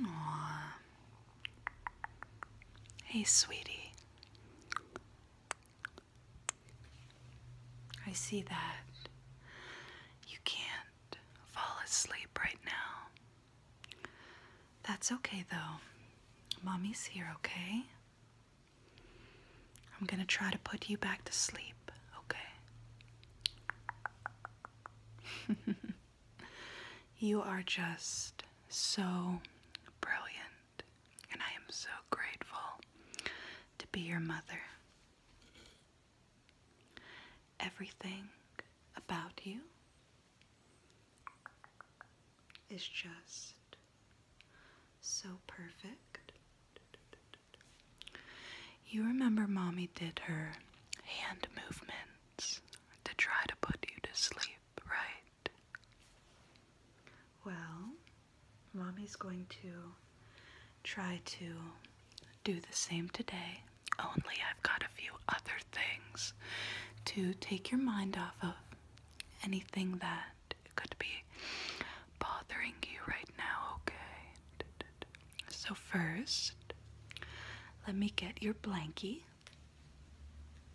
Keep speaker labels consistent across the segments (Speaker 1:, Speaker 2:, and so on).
Speaker 1: Aww. Hey, sweetie. I see that you can't fall asleep right now. That's okay, though. Mommy's here, okay? I'm gonna try to put you back to sleep, okay? you are just so brilliant, and I am so grateful to be your mother. Everything about you is just so perfect. You remember mommy did her hand movements to try to put you to sleep, right? Well, mommy's going to try to do the same today, only I've got a few other things to take your mind off of. Anything that could be bothering you right now, okay? So, first, let me get your blankie.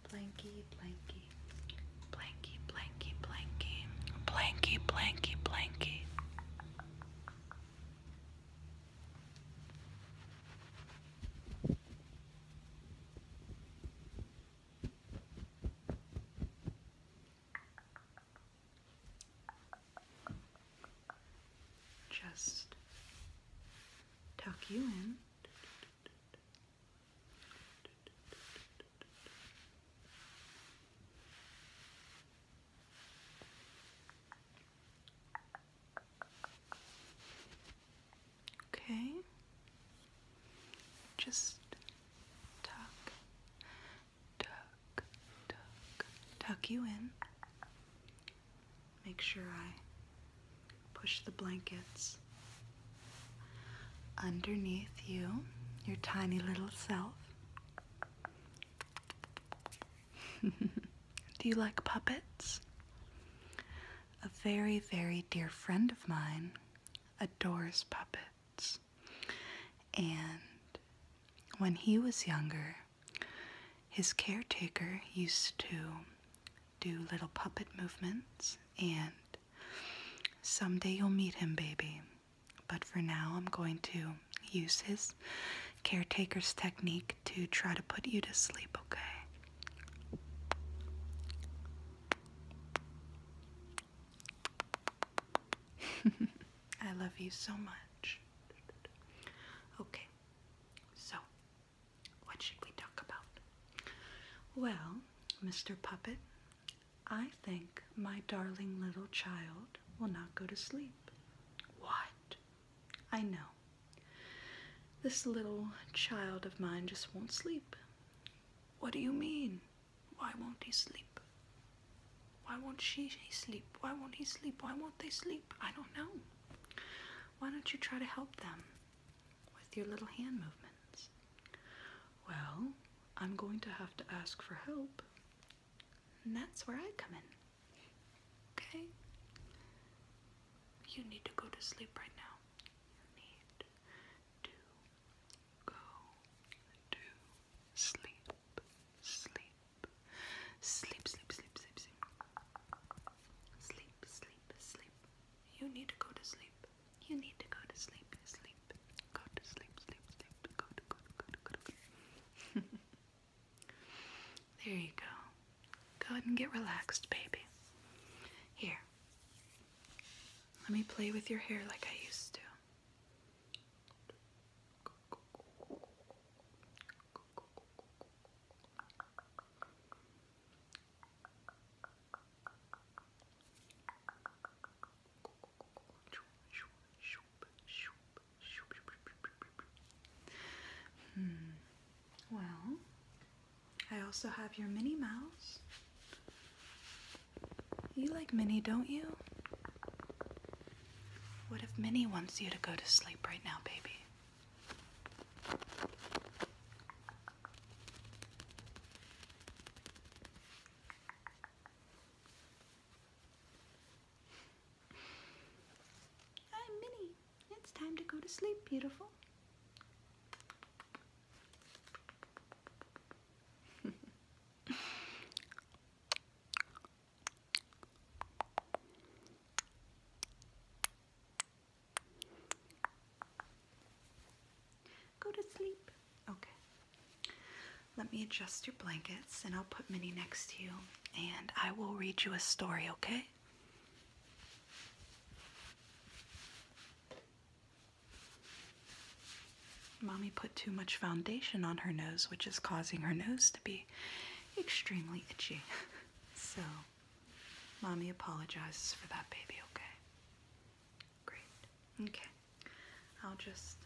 Speaker 1: Blankie, blankie. Blankie, blankie, blankie. Blankie, blankie, blankie. Blankie, just tuck you in. Okay, just tuck, tuck, tuck, tuck you in make sure I push the blankets underneath you, your tiny little self. Do you like puppets? A very, very dear friend of mine adores puppets. And when he was younger, his caretaker used to do little puppet movements and someday you'll meet him, baby. But for now, I'm going to use his caretaker's technique to try to put you to sleep, okay? I love you so much. Okay, so, what should we talk about? Well, Mr. Puppet, I think my darling little child will not go to sleep. What? I know. This little child of mine just won't sleep. What do you mean? Why won't he sleep? Why won't she, sleep? Why won't he sleep? Why won't they sleep? I don't know. Why don't you try to help them with your little hand movements? Well, I'm going to have to ask for help, and that's where I come in. Okay? You need to go to sleep right now. need to go to sleep, sleep, Sleep, sleep, sleep, sleep, sleep. Sleep, sleep, sleep. You need to go to sleep. You need to go to sleep, sleep. Go to sleep, sleep, sleep. Go to, go to, go to, go to. Go to. there you go. Go ahead and get relaxed, baby. Here. Let me play with your hair like I used to. Hmm. Well, I also have your Minnie Mouse. You like Minnie, don't you? What if Minnie wants you to go to sleep right now, baby? Hi, Minnie. It's time to go to sleep, beautiful. Go to sleep. Okay. Let me adjust your blankets and I'll put Minnie next to you and I will read you a story, okay? Mommy put too much foundation on her nose, which is causing her nose to be extremely itchy. So, mommy apologizes for that, baby, okay? Great. Okay. I'll just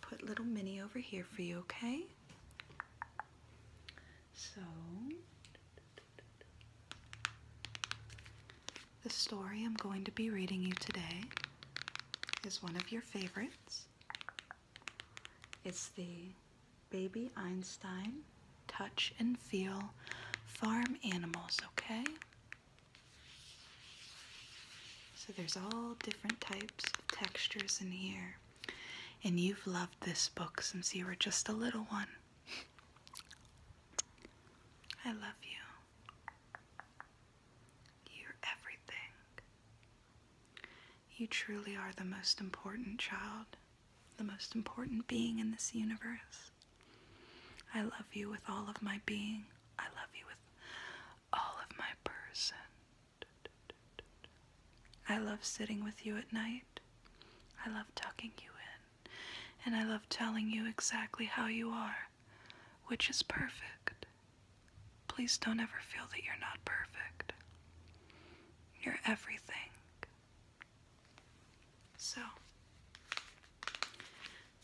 Speaker 1: put little mini over here for you, okay? So, the story I'm going to be reading you today is one of your favorites. It's the Baby Einstein Touch and Feel Farm Animals, okay? So there's all different types of textures in here. And you've loved this book since you were just a little one. I love you. You're everything. You truly are the most important child, the most important being in this universe. I love you with all of my being. I love you with all of my person. I love sitting with you at night. I love tucking you in. And I love telling you exactly how you are, which is perfect. Please don't ever feel that you're not perfect. You're everything. So,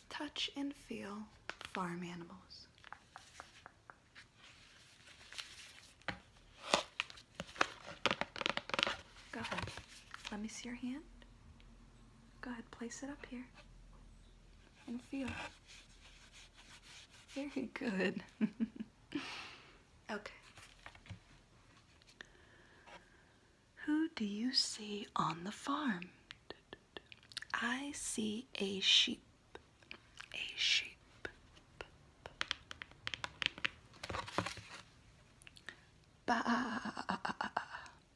Speaker 1: touch and feel farm animals. Go ahead. Let me see your hand. Go ahead, place it up here and feel. Very good. Okay. Who do you see on the farm? I see a sheep. A sheep. Ba.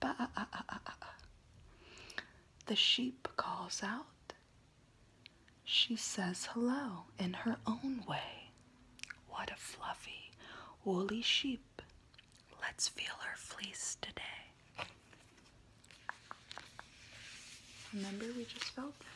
Speaker 1: Ba. The sheep calls out. She says hello in her own way. What a fluffy, woolly sheep. Let's feel her fleece today. Remember, we just felt this.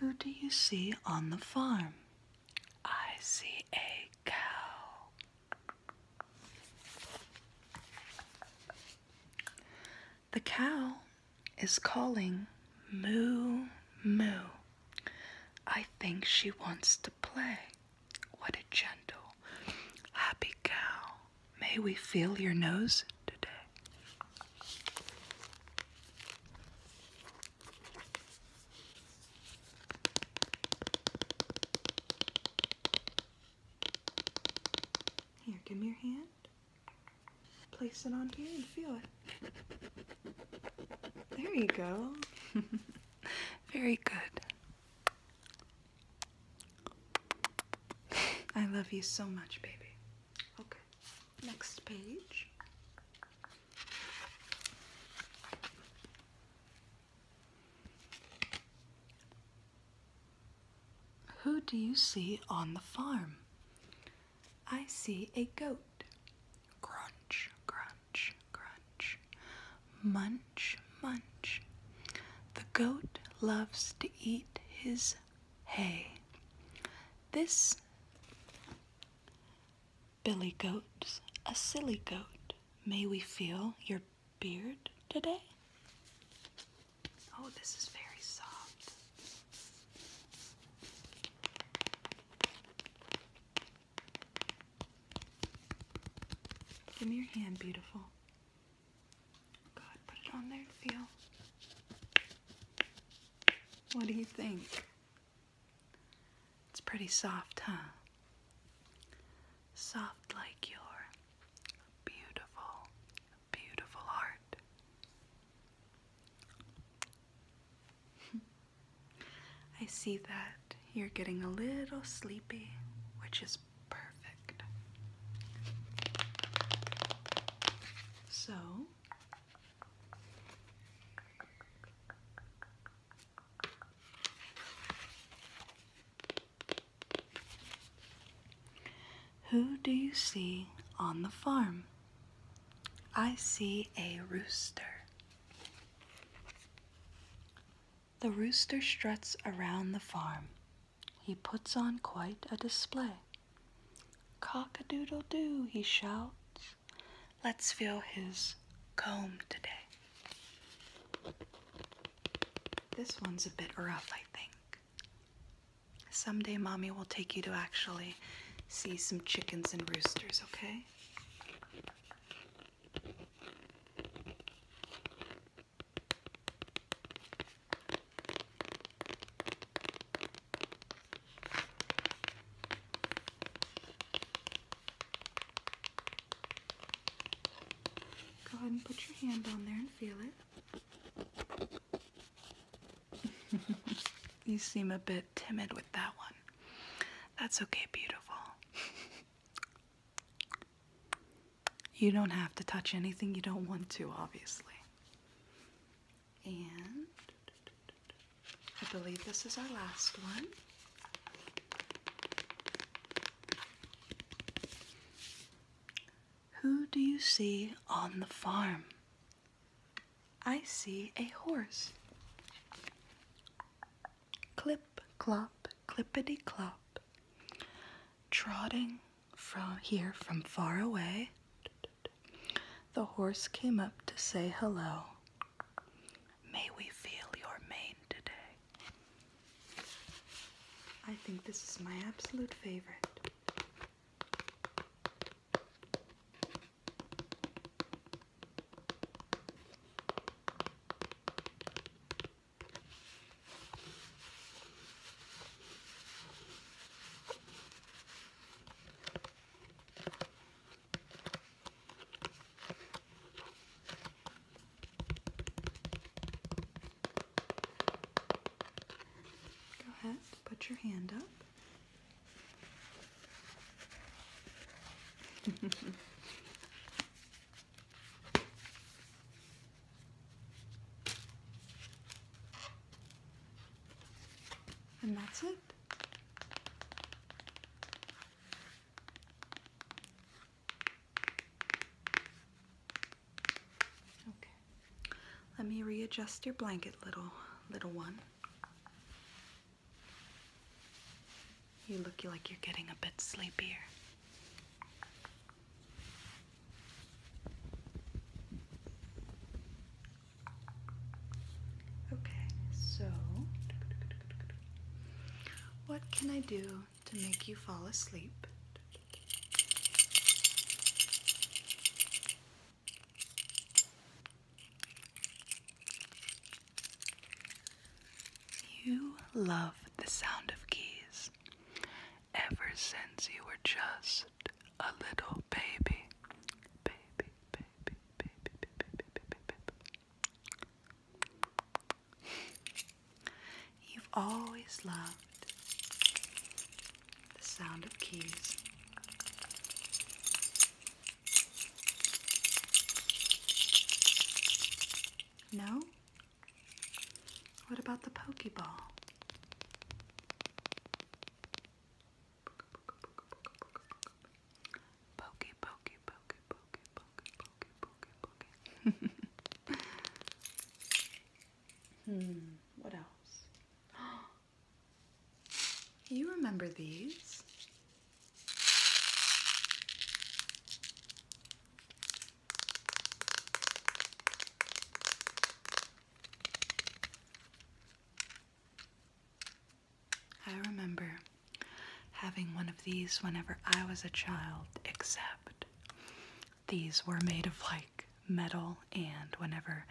Speaker 1: Who do you see on the farm? I see a cow. The cow is calling moo moo. I think she wants to play. What a gentle, happy cow. May we feel your nose today? Here, give me your hand. Place it on here and feel it. There you go. Very good. I love you so much, baby. Okay, next page. Who do you see on the farm? I see a goat. Crunch, crunch, crunch. Munch, munch. The goat loves to eat his hay. This Billy goat, a silly goat. May we feel your beard today? Oh, this is very soft. Give me your hand, beautiful. God, put it on there feel. What do you think? It's pretty soft, huh? Soft like your beautiful, beautiful heart. I see that you're getting a little sleepy, which is perfect. So, who do you see on the farm? I see a rooster. The rooster struts around the farm. He puts on quite a display. Cock a doodle doo, he shouts. Let's feel his comb today. This one's a bit rough, I think. Someday, mommy will take you to actually see some chickens and roosters, okay? Go ahead and put your hand on there and feel it. you seem a bit timid with that one. That's okay, beautiful. you don't have to touch anything you don't want to, obviously. And I believe this is our last one. Who do you see on the farm? I see a horse. Clip, clop, clippity clop. Trotting from here from far away, the horse came up to say hello. May we feel your mane today. I think this is my absolute favorite. Go ahead, put your hand up and that's it. Okay. Let me readjust your blanket, little little one. You look like you're getting a bit sleepier. Okay, so what can I do to make you fall asleep? You love the sound of keys ever since you were just a little baby. Baby, baby, baby, baby, baby, baby, baby. You've always loved the sound of keys. No? What about the Pokeball? Poke, poke, poke, poke, poke, poke, poke, poke. hmm, what else? You remember these. I remember having one of these whenever I was a child, except these were made of like metal, and whenever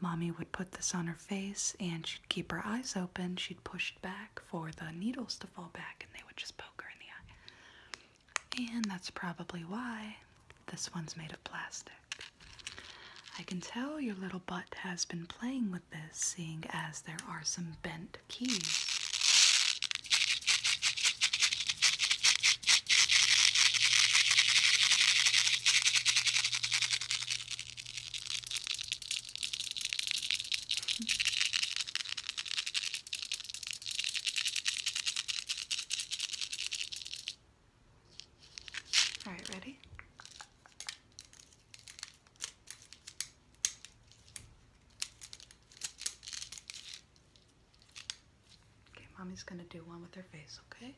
Speaker 1: mommy would put this on her face and she keep her eyes open, she'd push back for the needles to fall back, and they would just poke her in the eye. And that's probably why this one's made of plastic. I can tell your little butt has been playing with this, seeing as there are some bent keys. All right, ready? Okay, mommy's gonna do one with her face, okay?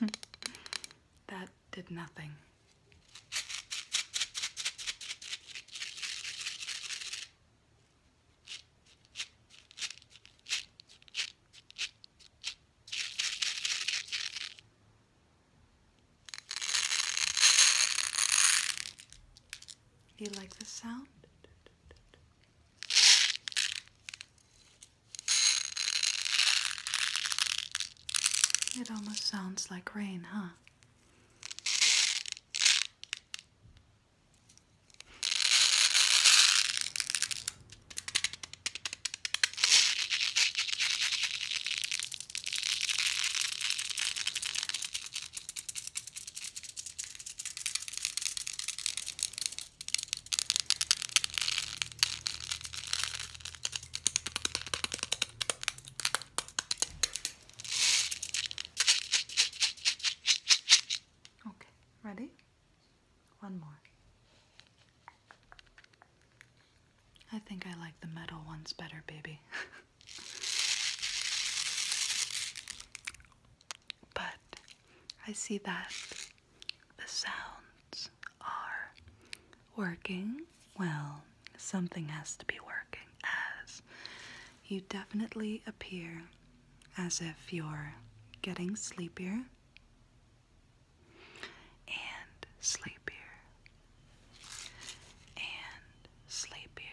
Speaker 1: that did nothing you like the sound? It almost sounds like rain, huh? Okay, ready? One more. I think I like the metal ones better, baby. but I see that the sounds are working. Well, something has to be working, as you definitely appear as if you're getting sleepier and sleepier and sleepier.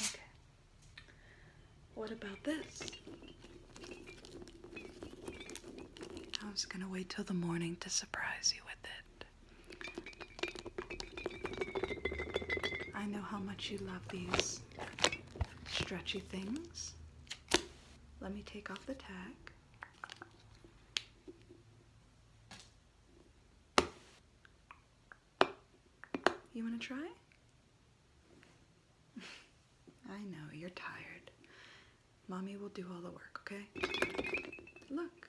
Speaker 1: Okay. What about this? I was going to wait till the morning to surprise you with it. I know how much you love these stretchy things. Let me take off the tag. You want to try? I know, you're tired. Mommy will do all the work, okay? Look.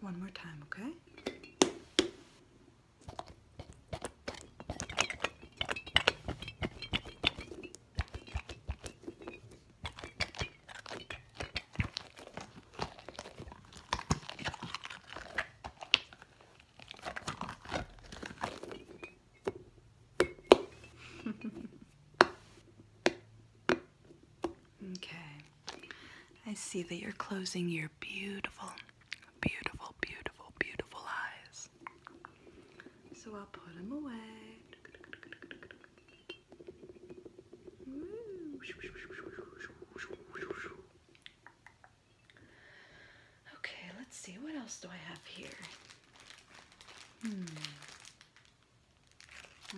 Speaker 1: One more time, okay? okay. I see that you're closing your beautiful, beautiful, beautiful, beautiful eyes. So I'll put them away. Okay, let's see. What else do I have here? Hmm.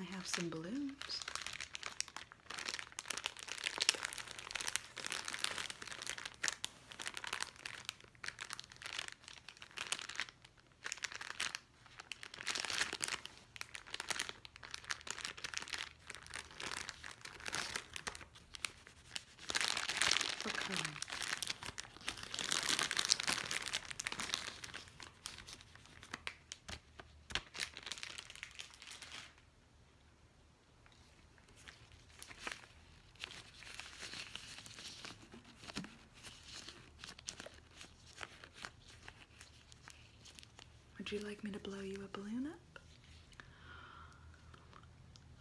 Speaker 1: I have some balloons. Would you like me to blow you a balloon up?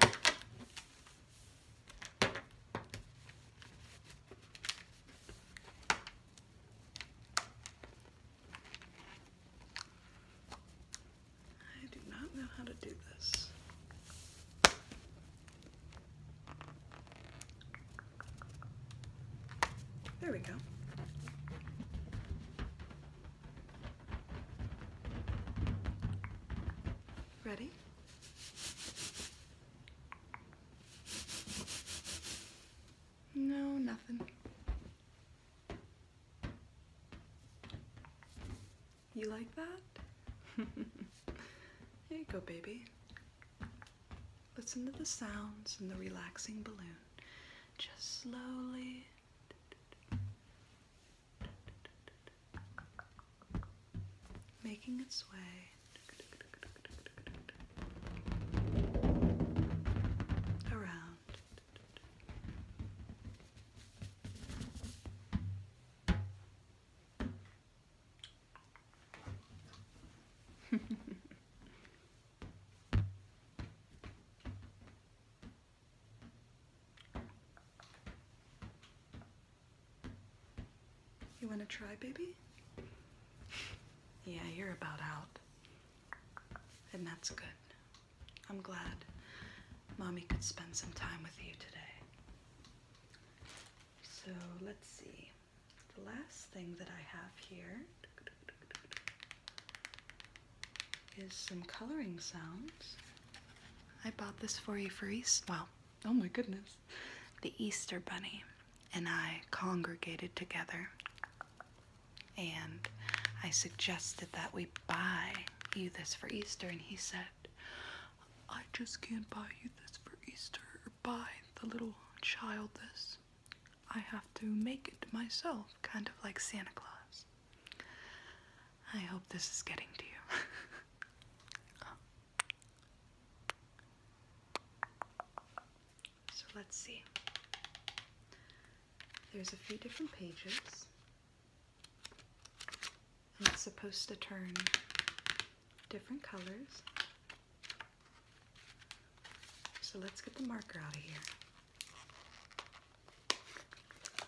Speaker 1: I do not know how to do this. There we go. Ready? No, nothing. You like that? Here you go, baby. Listen to the sounds and the relaxing balloon. Just slowly making its way. Around You want to try, baby? Yeah, you're about out. And that's good. I'm glad mommy could spend some time with you today. So let's see. The last thing that I have here is some coloring sounds. I bought this for you for Easter. Well, oh my goodness. The Easter Bunny and I congregated together and I suggested that we buy you this for Easter and he said, I just can't buy you this for Easter or buy the little child this. I have to make it myself, kind of like Santa Claus. I hope this is getting to you. So let's see. There's a few different pages. And it's supposed to turn different colors. So let's get the marker out of here.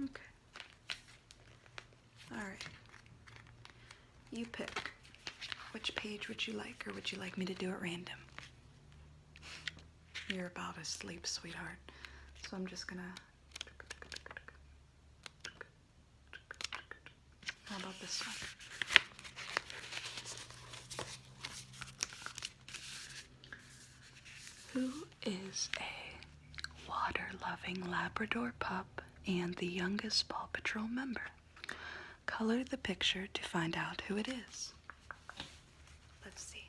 Speaker 1: Okay. All right. You pick. Which page would you like, or would you like me to do it random? You're about to sleep, sweetheart. So I'm just gonna how about this one? Who is a water loving Labrador pup and the youngest Paw Patrol member? Color the picture to find out who it is. Let's see.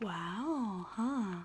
Speaker 1: Wow, huh?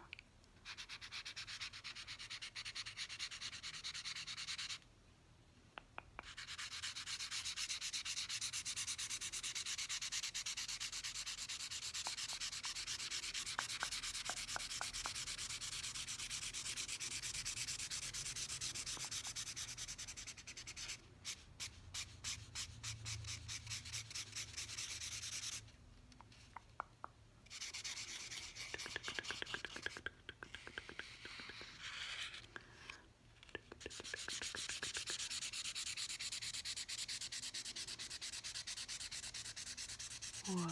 Speaker 1: Whoa,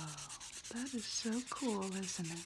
Speaker 1: that is so cool, isn't it?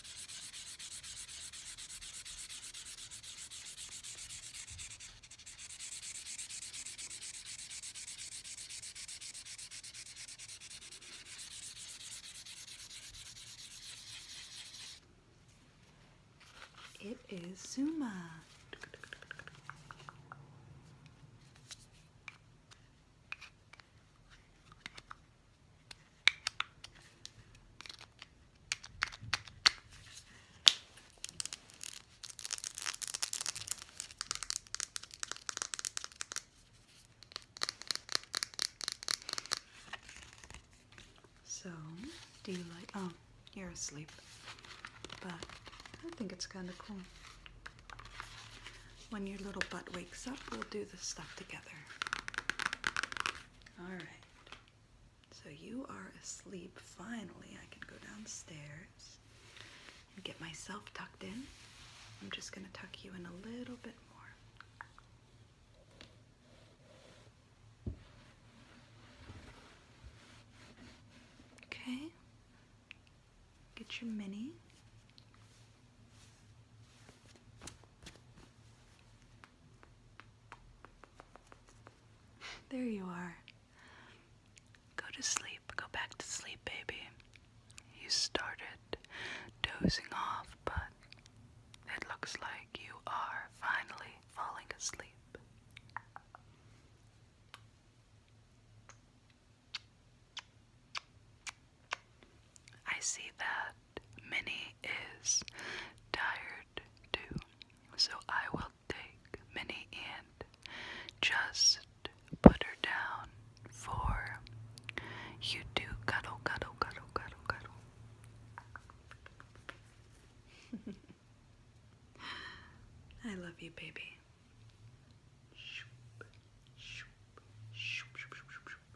Speaker 1: It is Zuma. So, do you like? Oh, you're asleep. But I think it's kind of cool. When your little butt wakes up, we'll do this stuff together. All right. So you are asleep. Finally, I can go downstairs and get myself tucked in. I'm just going to tuck you in a little bit more. Okay. Get your mini there you are. Go to sleep. Go back to sleep, baby. You started dozing off, but it looks like you are finally falling asleep. I see that Minnie is tired too, so I will take Minnie and just put her down for you do cuddle, cuddle, cuddle, cuddle, cuddle. I love you, baby.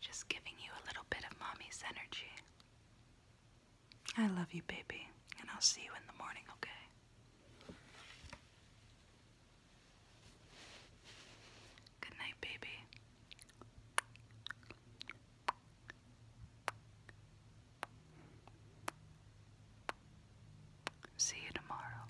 Speaker 1: Just giving you a little bit of mommy's energy. I love you, baby, and I'll see you in the morning, okay? Good night, baby. See you tomorrow.